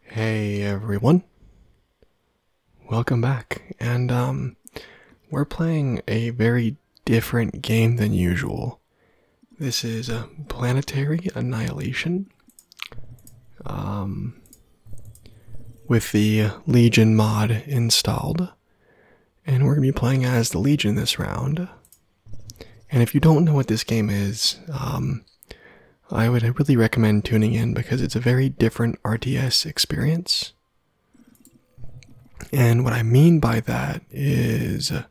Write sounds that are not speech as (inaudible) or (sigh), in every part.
Hey everyone. Welcome back. And um, we're playing a very different game than usual. This is a uh, planetary annihilation. Um, with the Legion mod installed. And we're going to be playing as the Legion this round. And if you don't know what this game is, um, I would really recommend tuning in because it's a very different RTS experience. And what I mean by that is uh,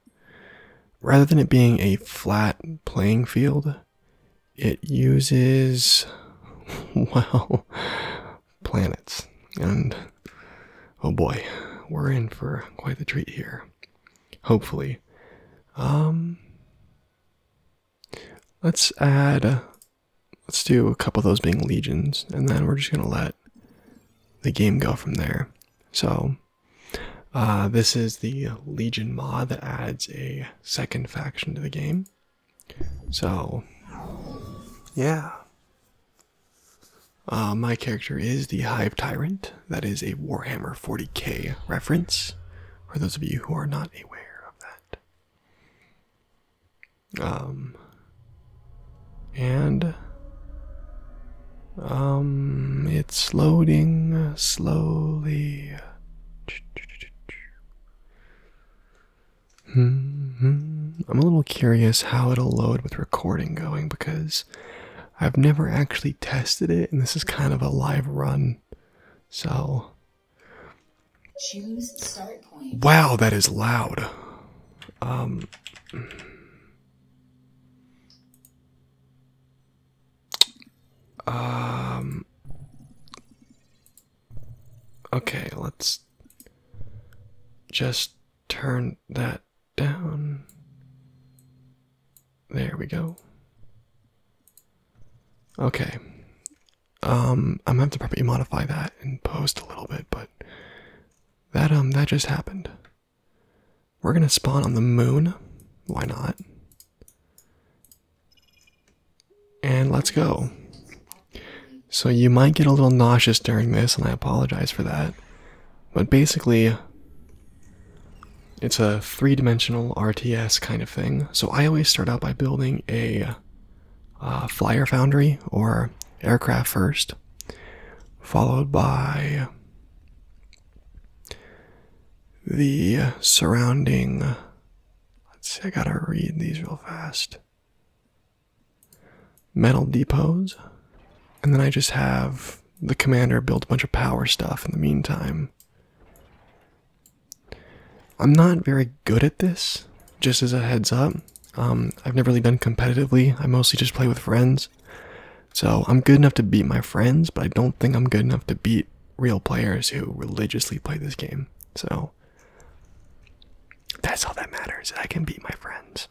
rather than it being a flat playing field, it uses, (laughs) well, planets. And oh boy, we're in for quite the treat here. Hopefully. Um, let's add uh, let's do a couple of those being legions and then we're just gonna let the game go from there. So uh, this is the Legion mod that adds a second faction to the game. So yeah. Uh, my character is the Hive Tyrant. That is a Warhammer 40k reference for those of you who are not aware of that. Um, and um, it's loading slowly. -hmm. I'm a little curious how it'll load with recording going because I've never actually tested it, and this is kind of a live run. So. Wow, that is loud. Um. Um. Okay, let's just turn that down. There we go. Okay. Um, I'm gonna have to probably modify that and post a little bit, but that um that just happened. We're gonna spawn on the moon. Why not? And let's go. So you might get a little nauseous during this, and I apologize for that. But basically, it's a three-dimensional RTS kind of thing, so I always start out by building a uh, flyer foundry or aircraft first, followed by the surrounding. Let's see, I gotta read these real fast. Metal depots, and then I just have the commander build a bunch of power stuff in the meantime. I'm not very good at this, just as a heads up. Um, I've never really done competitively, I mostly just play with friends. So I'm good enough to beat my friends, but I don't think I'm good enough to beat real players who religiously play this game. So that's all that matters. I can beat my friends.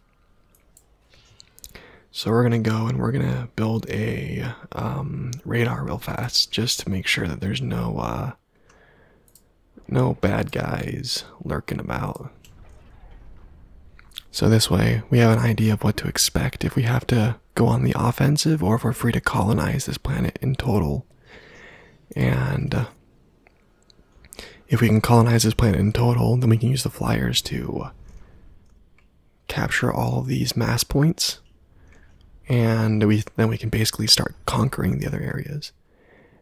So we're gonna go and we're gonna build a um, radar real fast, just to make sure that there's no uh, no bad guys lurking about. So this way, we have an idea of what to expect if we have to go on the offensive, or if we're free to colonize this planet in total. And uh, if we can colonize this planet in total, then we can use the flyers to uh, capture all of these mass points, and we then we can basically start conquering the other areas.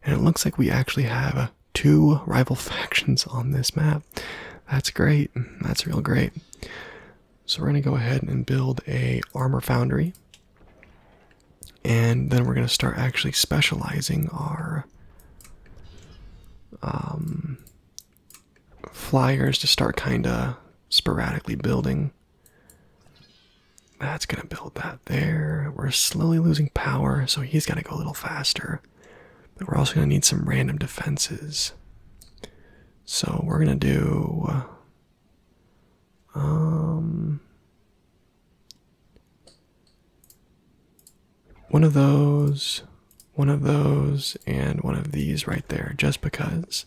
And it looks like we actually have uh, two rival (laughs) factions on this map. That's great. That's real great. So we're gonna go ahead and build a armor foundry. And then we're going to start actually specializing our um, flyers to start kind of sporadically building. That's going to build that there. We're slowly losing power, so he's got to go a little faster. But we're also going to need some random defenses. So we're going to do. Um one of those, one of those, and one of these right there, just because.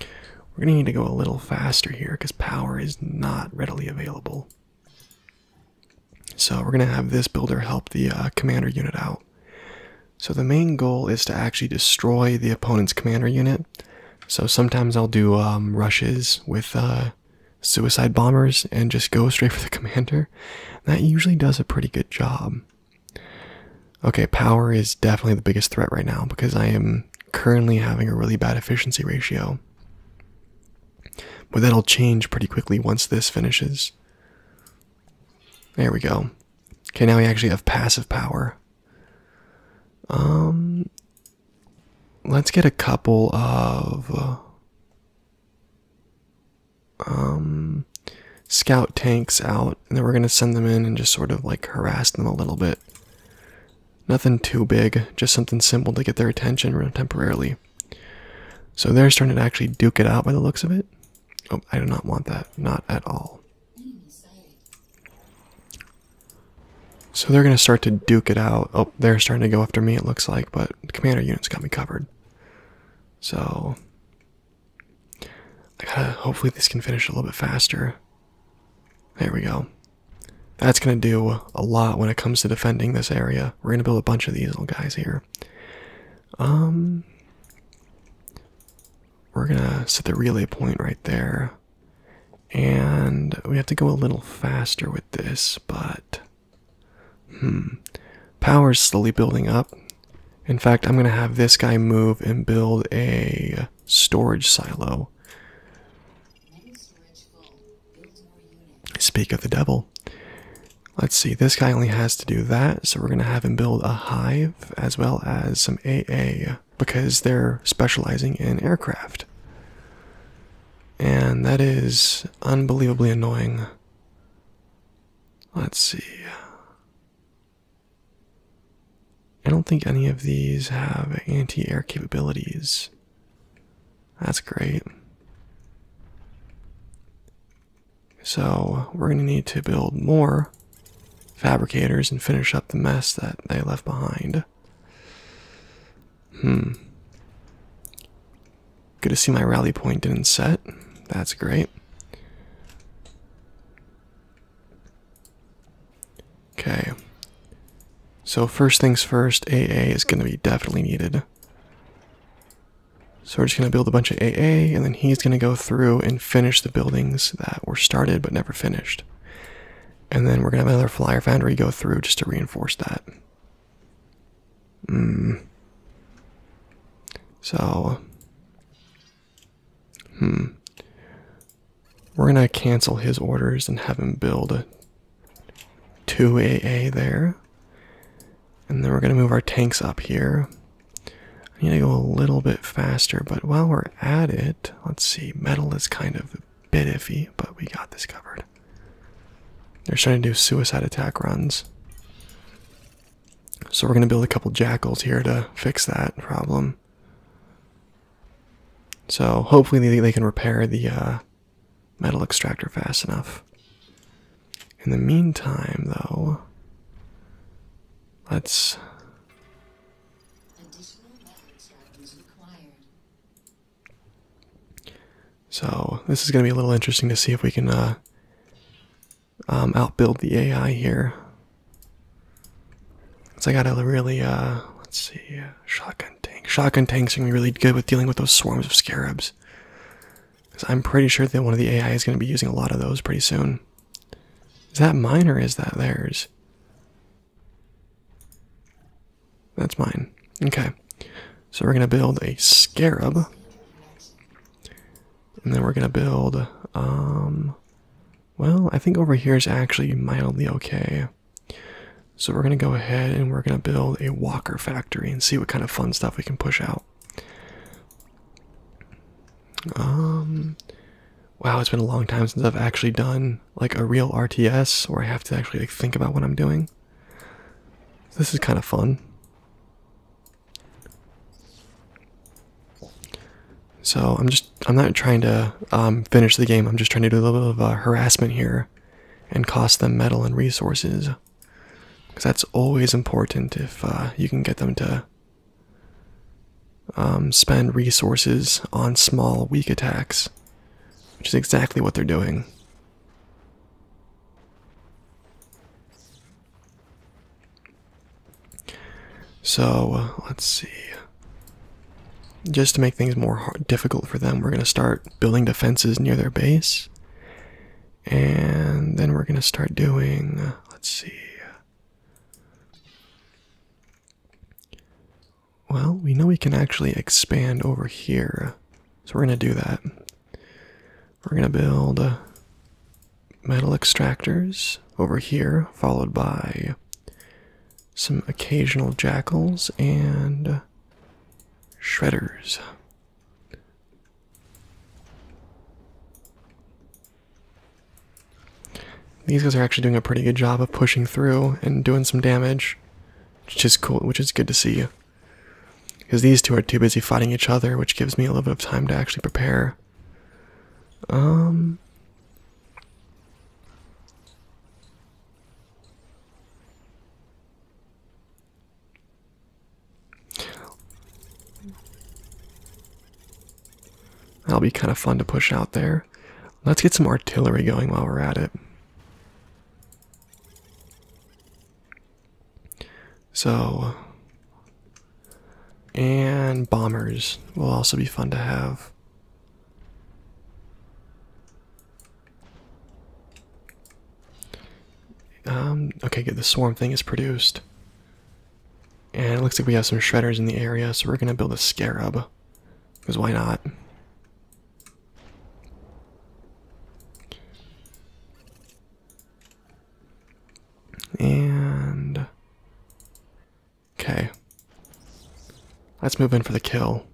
We're going to need to go a little faster here because power is not readily available. So we're going to have this builder help the uh, commander unit out. So the main goal is to actually destroy the opponent's commander unit. So sometimes I'll do um, rushes with uh, suicide bombers and just go (laughs) straight for the commander. That usually does a pretty good job. Okay, power is definitely the biggest threat right now because I am currently having a really bad efficiency ratio. But that'll change pretty quickly once this finishes. There we go. Okay, now we actually have passive power. Um, let's get a couple of um, scout tanks out, and then we're going to send them in and just sort of like harass them a little bit. Nothing too big, just something simple to get their attention temporarily. So they're starting to actually duke it out by the looks of it. Oh, I do not want that, not at all. So they're going to start to duke it out. Oh, they're starting to go after me, it looks like, but commander units got me covered. So I gotta, hopefully, this can finish a little bit faster. There we go. That's gonna do a lot when it comes to defending this area. We're gonna build a bunch of these little guys here. Um, we're gonna set the relay point right there. And we have to go a little faster with this, but Hmm. Power's slowly building up. In fact, I'm going to have this guy move and build a storage silo. Speak of the devil. Let's see, this guy only has to do that, so we're going to have him build a hive as well as some AA because they're specializing in aircraft. And that is unbelievably annoying. Let's see. I don't think any of these have anti air capabilities. That's great. So, we're going to need to build more fabricators and finish up the mess that they left behind. Hmm. Good to see my rally point didn't set. That's great. Okay. So first things first, AA is going to be definitely needed. So we're just going to build a bunch of AA, and then he's going to go through and finish the buildings that were started but never finished. And then we're going to have another flyer foundry go through just to reinforce that. Hmm. So, hmm. We're gonna cancel his orders and have him build two AA there, and then we're gonna move our tanks up here. I need to go a little bit faster, but while we're at it, let's see. Metal is kind of a bit iffy, but we got this covered. They're trying to do suicide attack runs. So we're going to build a couple jackals here to fix that problem. So hopefully they, can repair the uh, metal extractor fast enough. In the meantime, though, let's. So this is going to be a little interesting to see if we can uh, um, outbuild the AI here. So I gotta really, uh, let's see, shotgun tank. Shotgun tanks are gonna be really good with dealing with those swarms of scarabs. I'm pretty sure that one of the AI is gonna be using a lot of those pretty soon. Is that mine or is that theirs? That's mine. Okay. So we're gonna build a scarab. And then we're gonna build, um, well, I think over here is actually mildly okay. So we're gonna go ahead and we're gonna build a walker factory and see what kind of fun stuff we can push out. Um, wow, it's been a long time since I've actually done like a real RTS where I have to actually like think about what I'm doing. This is kind of fun. So I'm just I'm not trying to um, finish the game. I'm just trying to do a little bit of uh, harassment here, and cost them metal and resources, because that's always important if uh, you can get them to um, spend resources on small weak attacks, which is exactly what they're doing. So uh, let's see. Just to make things more difficult for them, we're going to start building defenses near their base. And then we're going to start doing, uh, let's see. Well, we know we can actually expand over here. So we're going to do that. We're going to build metal extractors over here, followed by some occasional jackals and shredders. These guys are actually doing a pretty good job of pushing through and doing some damage, which is cool, which is good to see. Because these two are too busy fighting each other, which gives me a little bit of time to actually prepare. Um. That'll be kind of fun to push out there. Let's get some artillery going while we're at it. So, and bombers will also be fun to have. Um, okay, good. The swarm thing is produced. And it looks like we have some shredders in the area, so we're gonna build a scarab. Because why not? And. Okay. Let's move in for the kill.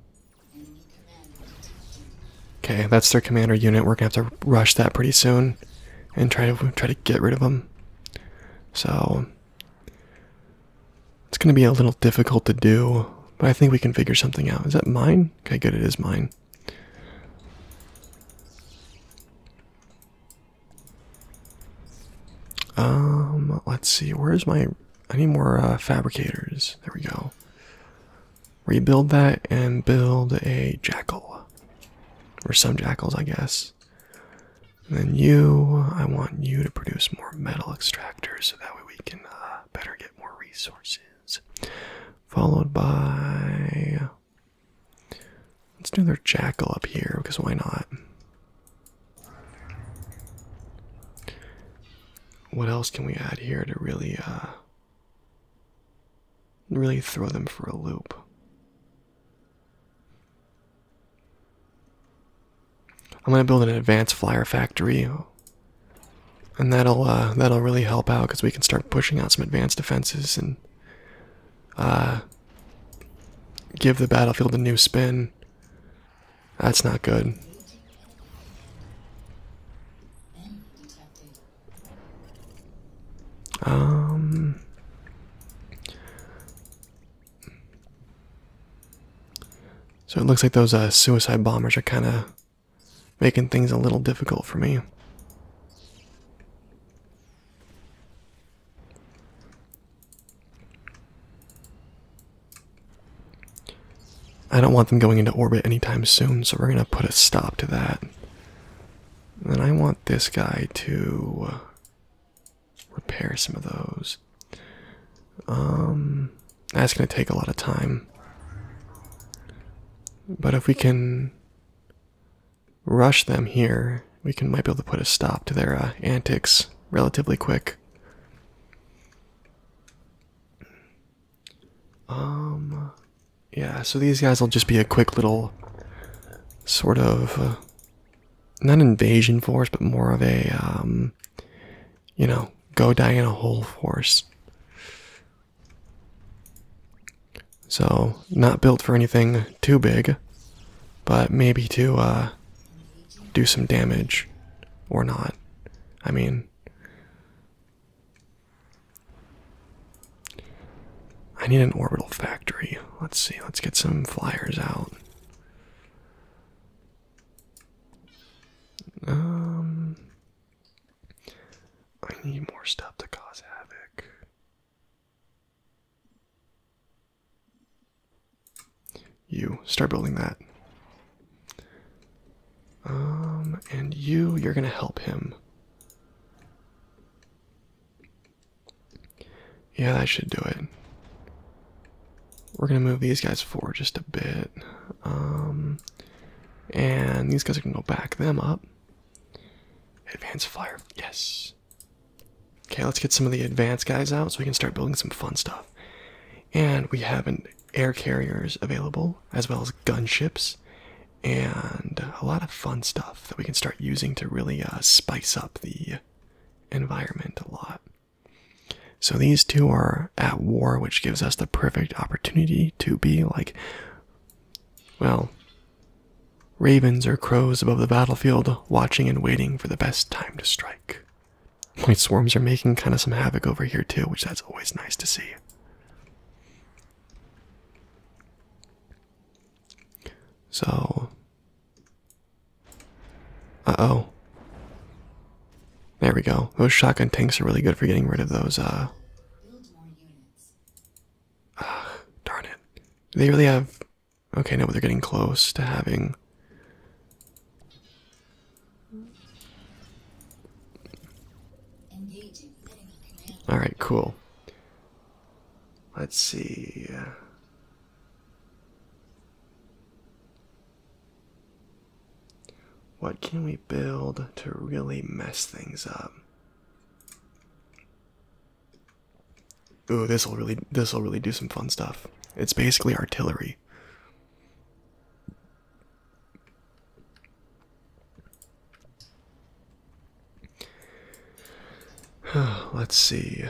Okay, that's their commander unit. We're gonna have to rush that pretty soon, and try to try to get rid of them. So it's gonna be a little difficult to do, but I think we can figure something out. Is that mine? Okay, good. It is mine. Um, let's see. Where's my? I need more uh, fabricators. There we go. Rebuild that and build a jackal, or some jackals, I guess. And then you, I want you to produce more metal extractors, so that way we can uh, better get more resources. Followed by Let's do their jackal up here because why not? What else can we add here to really uh really throw them for a loop? I'm gonna build an advanced flyer factory and that'll uh that'll really help out because we can start pushing out some advanced defenses and uh, give the battlefield a new spin. That's not good. Um, so it looks like those uh, suicide bombers are kind of making things a little difficult for me. I don't want them going into orbit anytime soon, so we're going to put a stop to that. And I want this guy to uh, repair some of those. Um, that's going to take a lot of time. But if we can rush them here, we can might be able to put a stop to their uh, antics relatively quick. Um, yeah, so these guys will just be a quick little sort of uh, not invasion force, but more of a um, you know, go die in a hole force. So, not built for anything too big, but maybe to uh, do some damage or not. I mean, I need an orbital factory. Let's see, let's get some flyers out. Um, I need more stuff to cause havoc. You start building that. Um, and you, you're gonna help him. Yeah, that should do it. We're gonna move these guys forward just a bit. Um, and these guys are gonna go back them up. Advanced fire, yes. Okay, let's get some of the advanced guys out so we can start building some fun stuff. And we have an air carriers available, as well as gunships, and a lot of fun stuff that we can start using to really uh, spice up the environment a lot. So these two are at war, which gives us the perfect opportunity to be like, well, Ravens or crows above the battlefield, watching and waiting for the best time to strike. White swarms are making kind of some havoc over here too, which that's always nice to see. So, uh oh, there we go. Those shotgun tanks are really good for getting rid of those uh Ugh, darn it. They really have. Okay, no, they're getting close to having. Alright, cool. Let's see. What can we build to really mess things up? Ooh, this will really this will really do some fun stuff. It's basically artillery. (sighs) Let's see.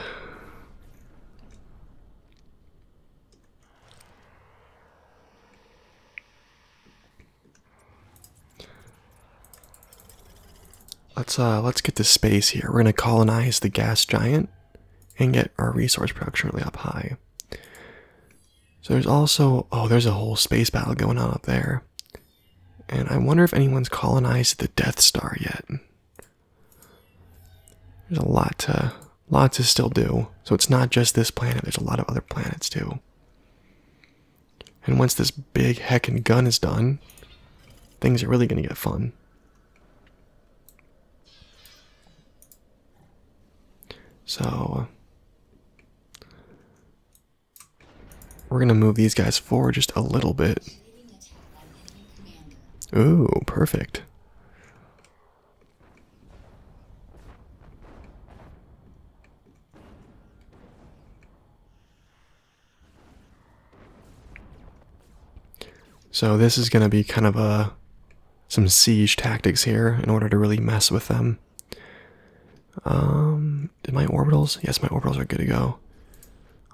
Let's uh let's get to space here. We're gonna colonize the gas giant and get our resource production really up high. So there's also oh there's a whole space battle going on up there. And I wonder if anyone's colonized the Death Star yet. There's a lot to lot to still do. So it's not just this planet, there's a lot of other planets too. And once this big heckin' gun is done, things are really gonna get fun. So, we're gonna move these guys forward just a little bit. Ooh, perfect. So this is going to be kind of a some siege tactics here in order to really mess with them. Um, did my orbitals? Yes, my orbitals are good to go.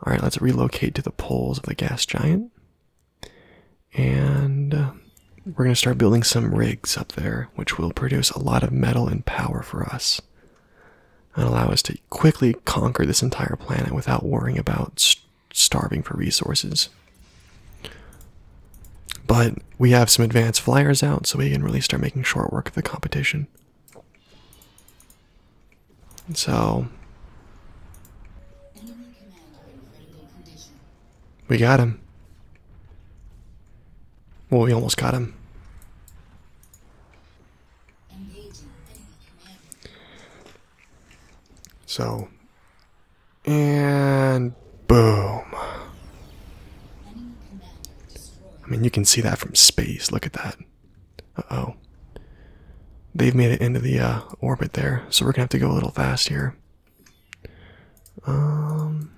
All right, let's relocate to the poles of the gas giant, and uh, we're going to start building some rigs up there, which will produce a lot of metal and power for us and allow us to quickly conquer this entire planet without worrying about starving for resources. But we have some advanced flyers out, so we can really start making short work of the competition. So. We got him. Well, we almost got him. So, and boom. I mean, you can see that from space. Look at that. Uh-oh. They've made it into the uh, orbit there, so we're gonna have to go a little fast here. Um,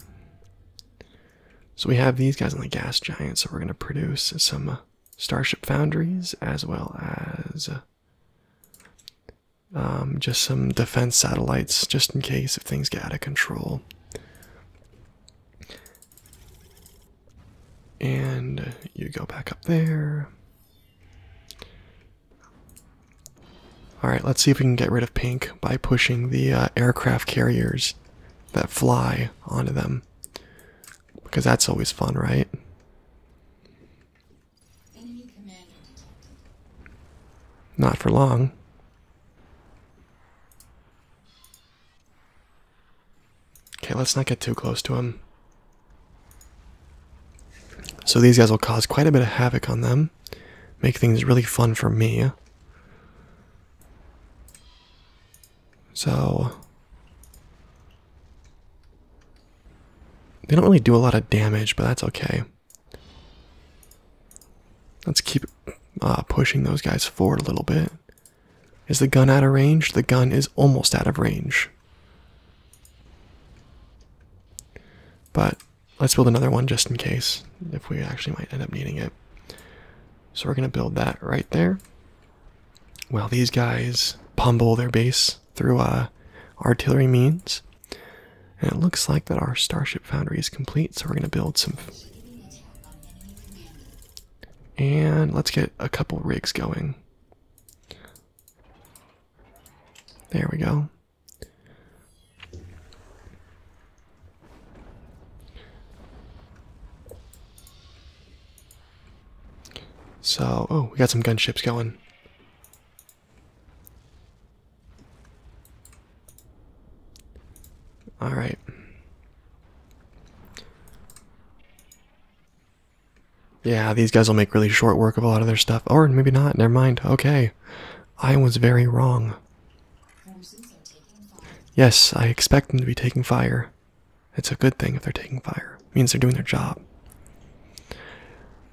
so we have these guys on the gas giant, so we're going to produce some uh, starship foundries as well as uh, um, just some defense satellites just in case if things get out of control. And you go back up there. All right, let's see if we can get rid of pink by pushing the uh, aircraft carriers that fly onto them. Because that's always fun, right? Not for long. Okay, let's not get too close to him. So these guys will cause quite a bit of havoc on them, make things really fun for me. So they don't really do a lot of damage, but that's okay. Let's keep uh, pushing those guys forward a little bit. Is the gun out of range? The gun is almost out of range. But let's build another one just in case if we actually might end up needing it. So we're going to build that right there. While these guys pummel their base through uh, artillery means. And it looks like that our starship foundry is complete, so we're going to build some. And let's get a couple rigs going. There we go. So, oh, we got some gunships going. All right. Yeah, these guys will make really short work of a lot of their stuff. Or maybe not, never mind. Okay. I was very wrong. Yes, I expect them to be taking fire. It's a good thing if they're taking fire. means they're doing their job.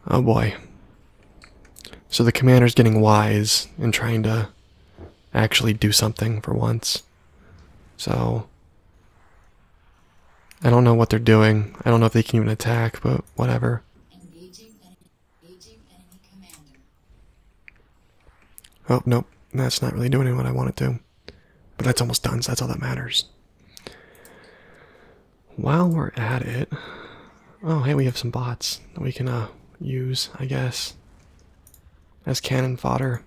Oh boy. So the commander's getting wise and trying to actually do something for once. So I don't know what they're doing. I don't know if they can even attack, but whatever. Oh, nope. That's not really doing what I want it to. But that's almost done, so that's all that matters. While we're at it... Oh, hey, we have some bots that we can uh, use, I guess. As cannon fodder.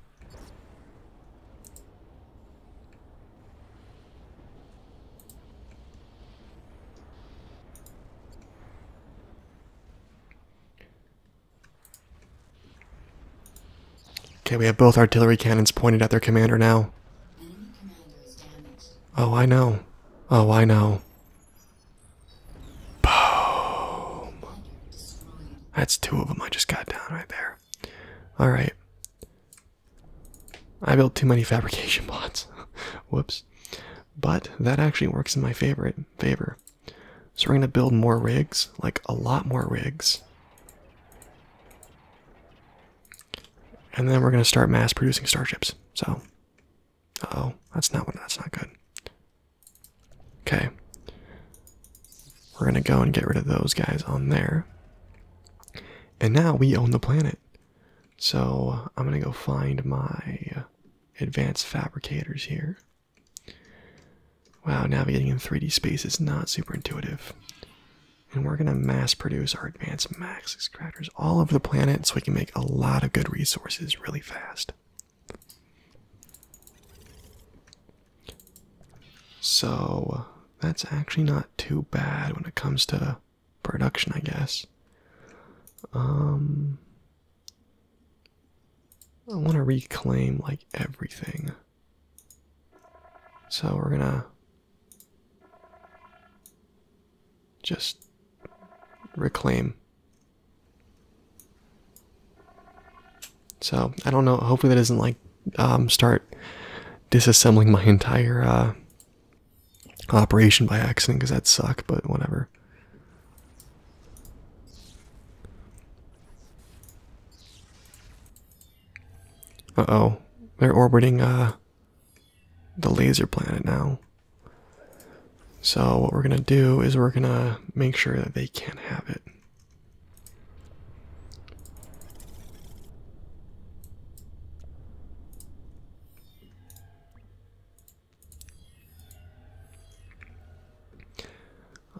Okay, we have both artillery cannons pointed at their commander now. Oh, I know. Oh, I know. Boom. That's two of them I just got down right there. Alright. I built too many (laughs) fabrication bots. (laughs) Whoops. But that actually works in my favorite favor. So we're going to build more rigs, like a lot more rigs. And then we're going to start mass producing starships. So, oh, that's not what that's not good. Okay. We're going to go and get rid of those guys on there. And now we own the planet. So, I'm going to go find my advanced fabricators here. Wow, navigating in 3D space is not super intuitive. And we're going to mass produce our advanced max extractors all over the planet so we can make a lot of good resources really fast. So that's actually not too bad when it comes to production, I guess. Um I want to reclaim like everything. So we're gonna just reclaim. So I don't know. Hopefully that doesn't like um, start disassembling my entire uh, operation by accident because that'd suck. But whatever. Uh-oh. They're orbiting uh, the laser planet now. So what we're going to do is we're going to make sure that they can't have it.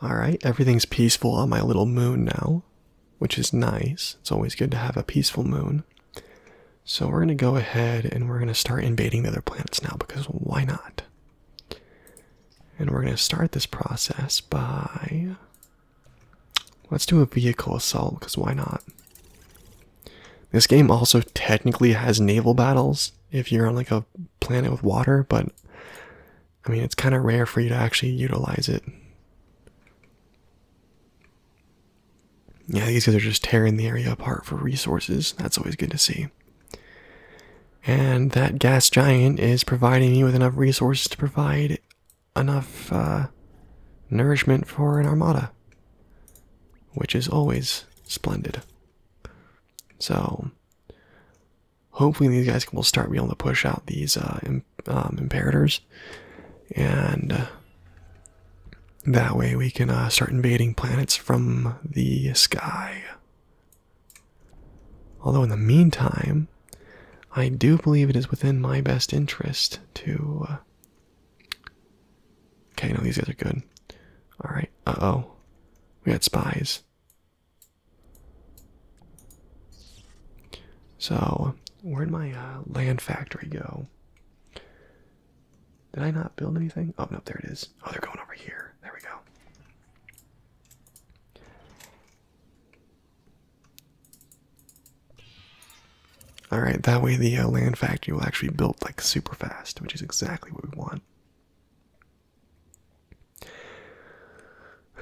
Alright, everything's peaceful on my little moon now, which is nice. It's always good to have a peaceful moon. So we're going to go ahead and we're going to start invading the other planets now because why not? And we're going to start this process by. Let's do a vehicle assault because why not? This game also technically has naval battles if you're on like a a planet with water, but I mean, it's kind of rare for you to actually utilize it. Yeah, these guys are just tearing the area apart for resources. That's always good to see. And that gas giant is providing me with enough resources to provide enough uh, nourishment for an armada, which is always splendid. So, hopefully these guys will start being able to push out these uh, um, imperators and uh, that way we can uh, start invading planets from the sky although in the meantime i do believe it is within my best interest to okay no these guys are good all right uh-oh we got spies so, where'd my uh, land factory go? Did I not build anything? Oh, no, there it is. Oh, they're going over here. There we go. All right, that way the uh, land factory will actually build like super fast, which is exactly what we want.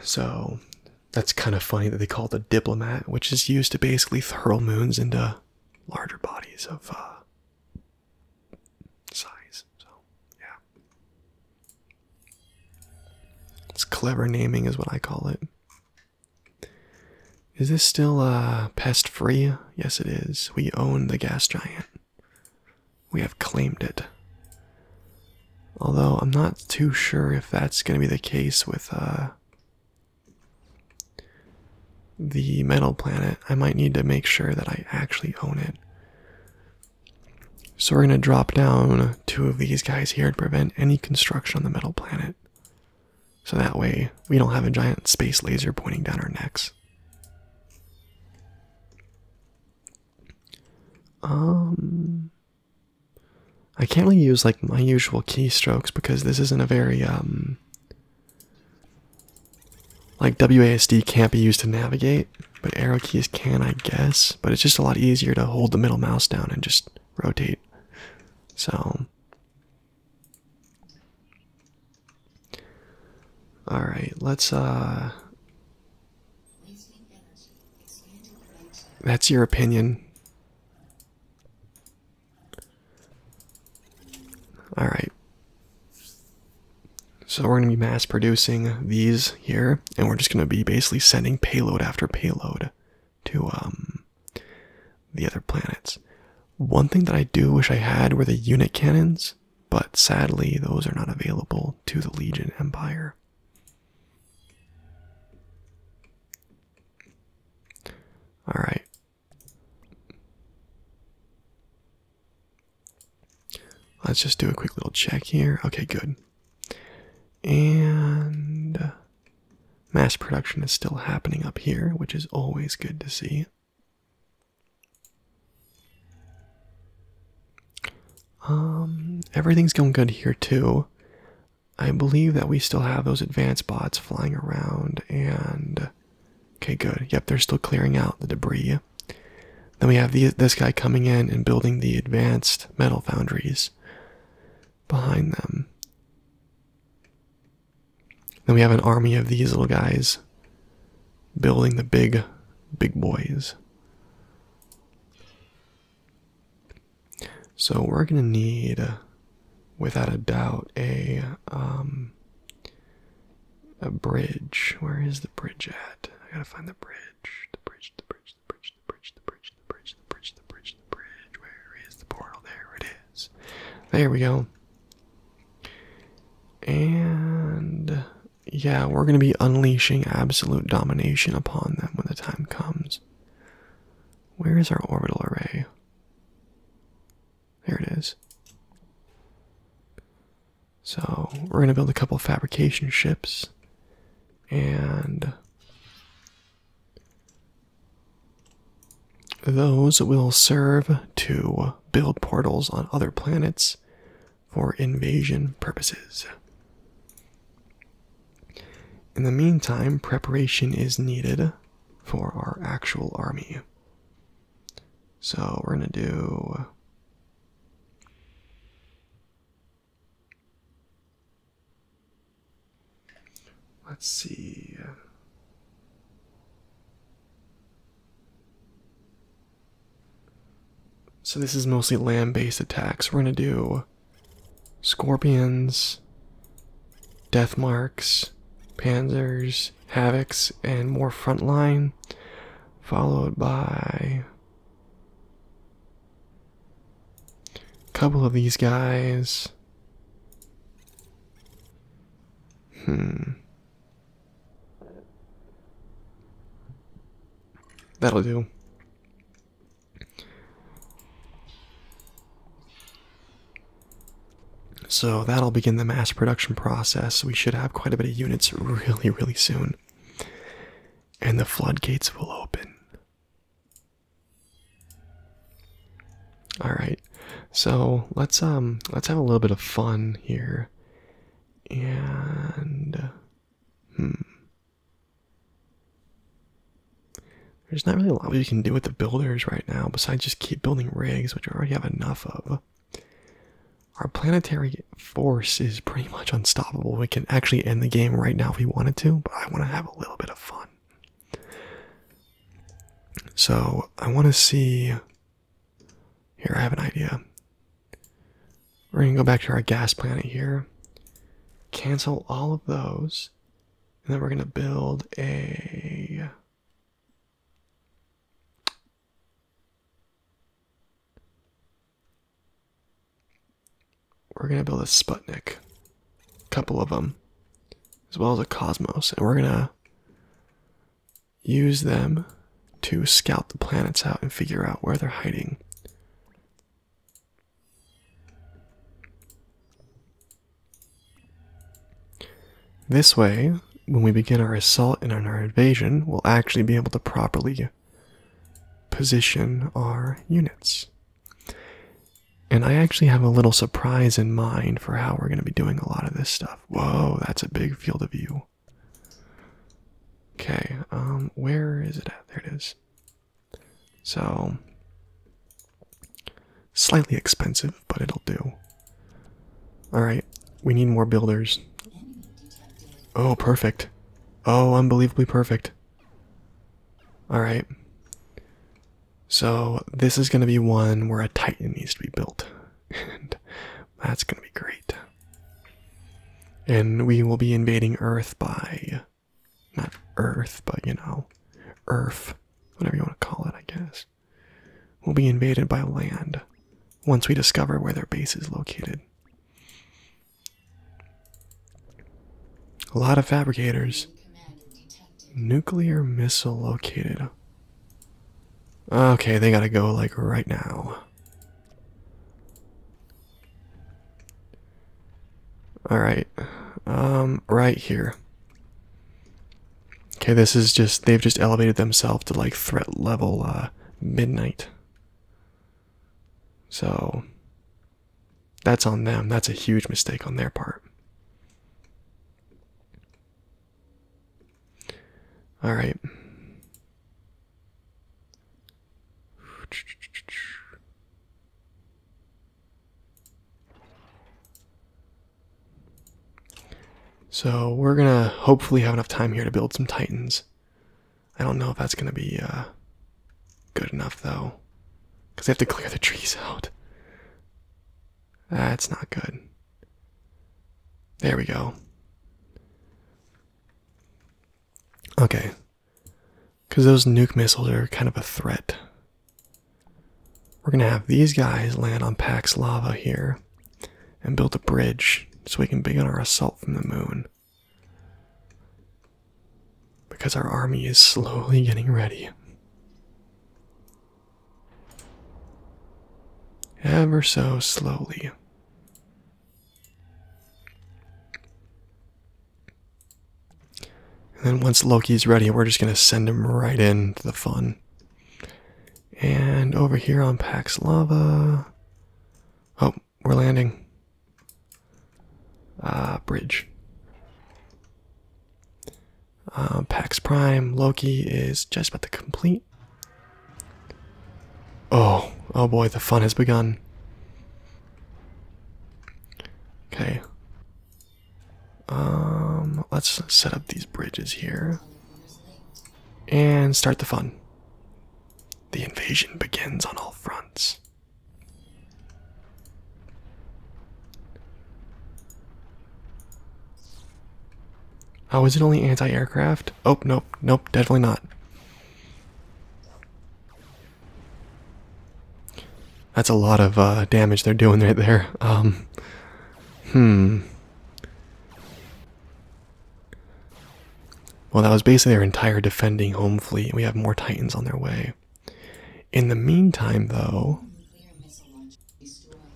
So that's kind of funny that they call it a diplomat, which is used to basically hurl moons into larger bodies of uh, size. So, yeah. It's clever naming, is what I call it. Is this still uh, pest free? Yes, it is. We own the gas giant. We have claimed it. Although I'm not too sure if that's going to be the case with uh, the metal planet. I might need to make sure that I actually own it. So we're going to drop down two of these guys here to prevent any construction on the metal planet. So that way we don't have a giant space laser pointing down our necks. Um, I can't really use like my usual keystrokes because this isn't a very um like WASD can't be used to navigate, but arrow keys can, I guess. But it's just a lot easier to hold the middle mouse down and just rotate. So all right, let's uh That's your opinion. All right. So we're going to be mass producing these here and we're just going to be basically sending payload after payload to um the other planets. One thing that I do wish I had were the unit cannons but sadly, those are not available to the Legion Empire. All right. Let's just do a quick little check here. Okay, good. And uh, mass production is still happening up here, which is always good to see. Um, everything's going good here too. I believe that we still have those advanced bots flying around and okay, good. Yep, they're still clearing out the debris. Then we have this guy coming in and building the advanced metal foundries behind them. Then we have an army of these little guys building the big, big boys. So we're going to need, without a doubt, a um, a bridge. Where is the bridge at? I gotta find the bridge. The bridge. The bridge. The bridge. The bridge. The bridge. The bridge. The bridge. The bridge. The bridge. Where is the portal? There it is. There we go. And yeah, we're going to be unleashing absolute domination upon them when the time comes. Where is our orbital array? There it is. So, we're going to build a couple fabrication ships and those will serve to build portals on other planets for invasion purposes. In the meantime, preparation is needed for our actual army. So we're going to do. Let's see. So this is mostly land-based attacks. We're gonna do scorpions, death marks, panzers, havocs, and more frontline, followed by a couple of these guys. Hmm. That'll do. So that'll begin the mass production process. We should have quite a bit of units really, really soon. And the floodgates will open. All right. So, let's um let's have a little bit of fun here and hmm. There's not really a lot we can do with the builders right now, besides just keep building rigs, which we already have enough of. Our planetary force is pretty much unstoppable. We can actually end the game right now if we wanted to, but I want to have a little bit of fun. So I want to see here, I have an idea. We're going to go back to our gas planet here, cancel all of those, and then we're going to build a. We're going to build a Sputnik, a couple of them, as well as a Cosmos, and we're going to Use them to scout the planets out and figure out where they're hiding. This way, when we begin our assault and our invasion, we'll actually be able to properly position our units. And I actually have a little surprise in mind for how we're going to be doing a lot of this stuff. Whoa, that's a big field of view. Okay, um, where is it at? There it is. So, slightly expensive, but it'll do. Alright, we need more builders. Oh, perfect. Oh, unbelievably perfect. Alright. So, this is going to be one where a Titan needs to be built. (laughs) That's going to be great. And we will be invading Earth by. Not Earth, but you know, Earth. Whatever you want to call it, I guess. We'll be invaded by land once we discover where their base is located. A lot of fabricators. Nuclear missile located. Okay, they gotta go like right now. All right. Um, right here. Okay, this is just, they've just elevated themselves to like threat level uh, midnight. So, that's on them. That's a huge mistake on their part. All right. So we're gonna hopefully have enough time here to build some titans. I don't know if that's gonna be uh, good enough though, because I have to clear the trees out. That's not good. There we go. Okay. Because those nuke missiles are kind of a threat. We're going to have these guys land on Pax Lava here and build a bridge so we can begin our assault from the moon. Because our army is slowly getting ready. Ever so slowly. And then once Loki's ready, we're just going to send him right into the fun. And over here on Pax Lava. Oh, we're landing. Uh, bridge. Uh, Pax Prime Loki is just about to complete Oh, oh boy, the fun has begun. Okay. Um, let's set up these bridges here. And start the fun. The invasion begins on all fronts. Oh, is it only anti aircraft? Oh, nope, nope, definitely not. That's a lot of uh, damage they're doing right there. Um, hmm. Well, that was basically their entire defending home fleet. We have more Titans on their way. In the meantime, though.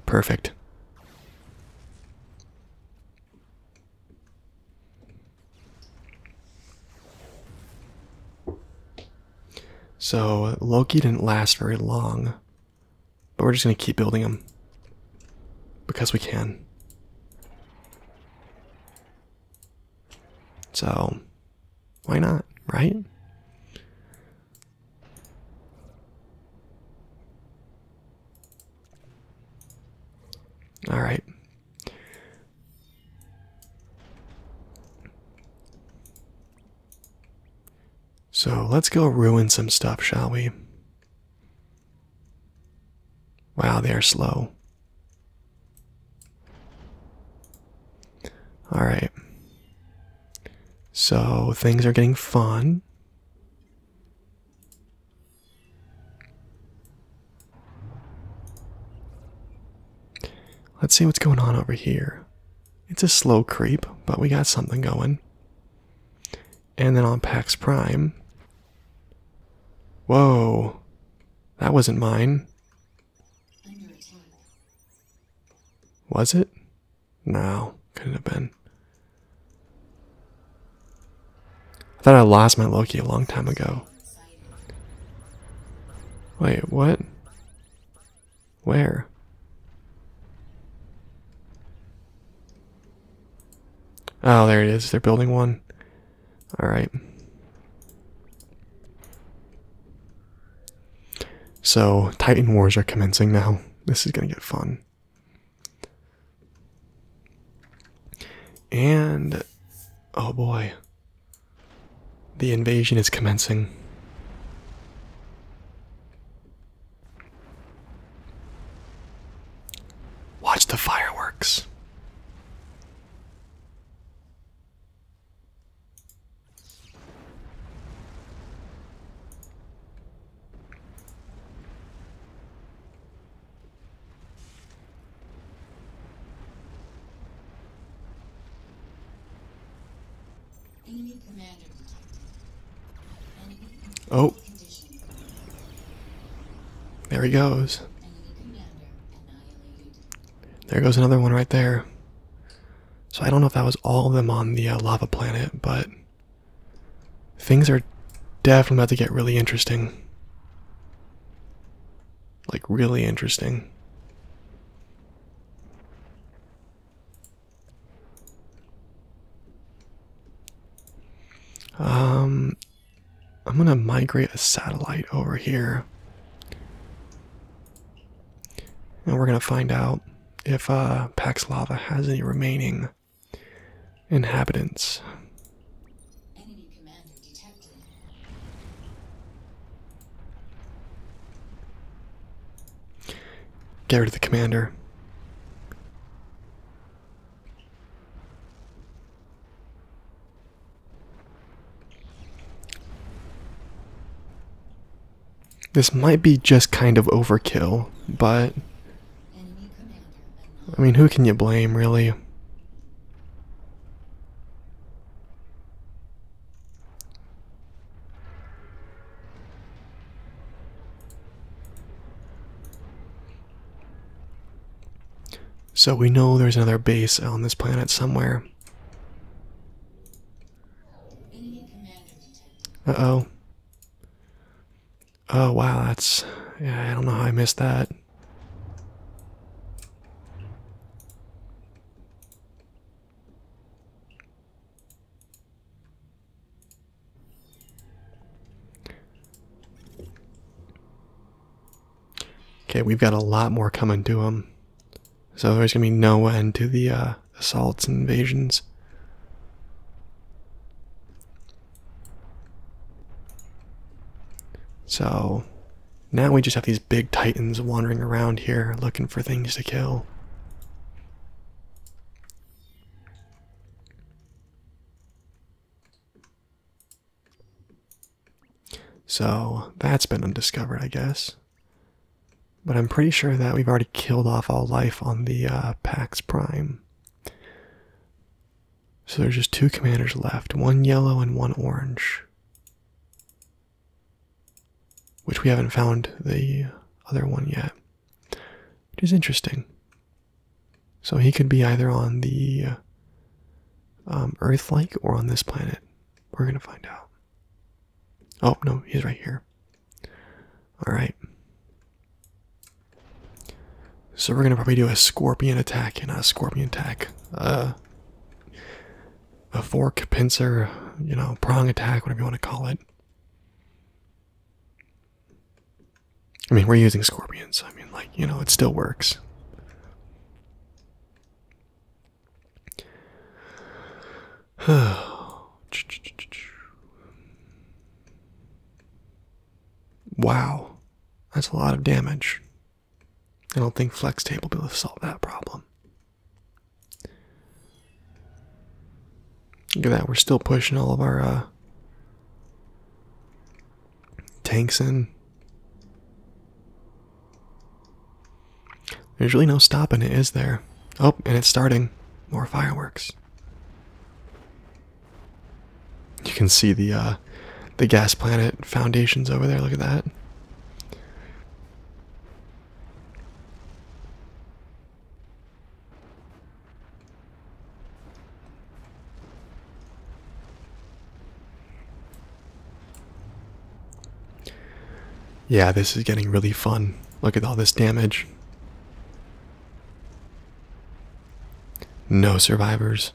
Perfect. So Loki didn't last very long, but we're just going to keep building him because we can. So why not, right? All right. So let's go ruin some stuff, shall we? Wow, they are slow. All right. So things are getting fun. Let's see what's going on over here. It's a slow creep, but we got something going. And then on Pax Prime. Whoa. That wasn't mine. Was it? No, couldn't have been. I thought I lost my Loki a long time ago. Wait, what? Where? Oh, there it is. They're building one. All right. So, Titan Wars are commencing now. This is going to get fun. And oh boy, the invasion is commencing. Watch the fireworks. Oh. There he goes. There goes another one right there. So I don't know if that was all of them on the uh, lava planet, but Things are definitely about to get really interesting. Like, really interesting. Um, I'm gonna migrate a satellite over here. And we're gonna find out if uh, Pax Lava has any remaining inhabitants. Get rid of the commander. This might be just kind of overkill, but I mean, who can you blame, really? So we know there's another base on this planet somewhere. Uh oh. Oh wow, that's yeah, I don't know how I missed that. Okay, we've got a lot more coming to them, So there's gonna be no end to the uh, assaults and invasions. So now we just have these big titans wandering around here looking for things to kill. So that's been undiscovered, I guess. But I'm pretty sure that we've already killed off all life on the uh, Pax Prime. So there's just two commanders left one yellow and one orange. Which we haven't found the other one yet. Which is interesting. So he could be either on the um, Earth like or on this planet. We're going to find out. Oh, no, he's right here. All right. So we're gonna probably do a scorpion attack and a scorpion attack, uh, a fork, pincer, you know, prong attack, whatever you want to call it. I mean, we're using scorpions. I mean, like you know, it still works. (sighs) Wow, that's a lot of damage. I don't think Flex Tape will be able to solve that problem. Look at that, we're still pushing all of our uh, tanks in. There's really no stopping it, is there? Oh, and it's starting. More fireworks. You can see the uh, the gas planet foundations over there. Look at that. Yeah, this is getting really fun. Look at all this damage. No survivors.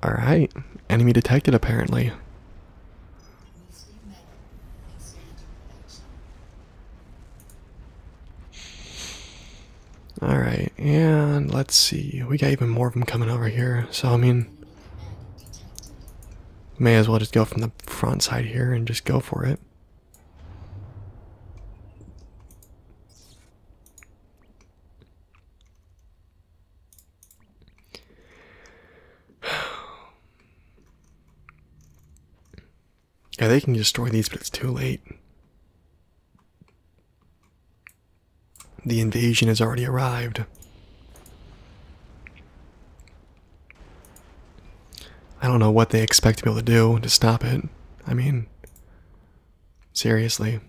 All right, enemy detected apparently. All right, and let's see. We got even more of them coming over here. So I mean, may as well just go from the front side here and just go for it. Yeah, they can destroy these, but it's too late. The invasion has already arrived. I don't know what they expect to be able to do to stop it. I mean, seriously.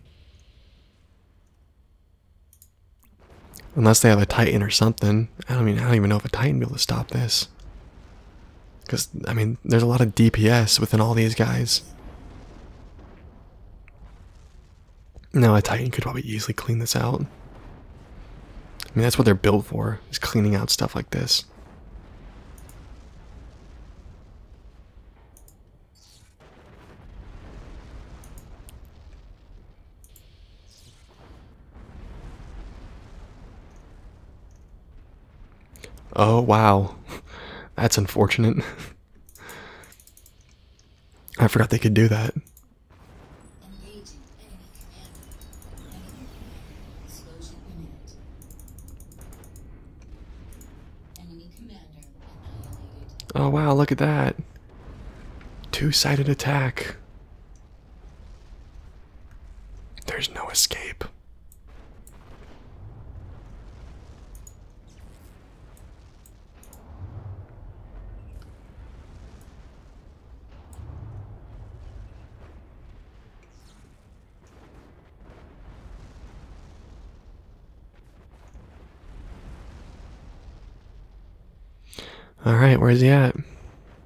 Unless they have a Titan or something. I don't mean I don't even know if a Titan will be able to stop this. Because, I mean, there's a lot of DPS within all these guys. Now a Titan could probably easily clean this out. I mean, that's what they're built for, is cleaning out stuff like this. Oh, wow. That's unfortunate. I forgot they could do that. Oh wow, look at that. Two-sided attack. There's no escape. All right, where's he at?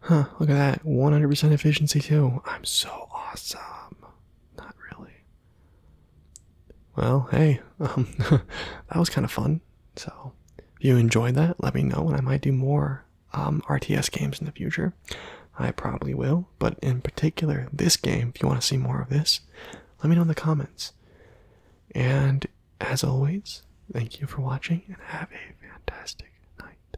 Huh, look at that. 100% efficiency, too. I'm so awesome. Not really. Well, hey, um, (laughs) that was kind of fun. So, if you enjoyed that, let me know, and I might do more um, RTS games in the future. I probably will, but in particular, this game, if you want to see more of this, let me know in the comments. And as always, thank you for watching, and have a fantastic night.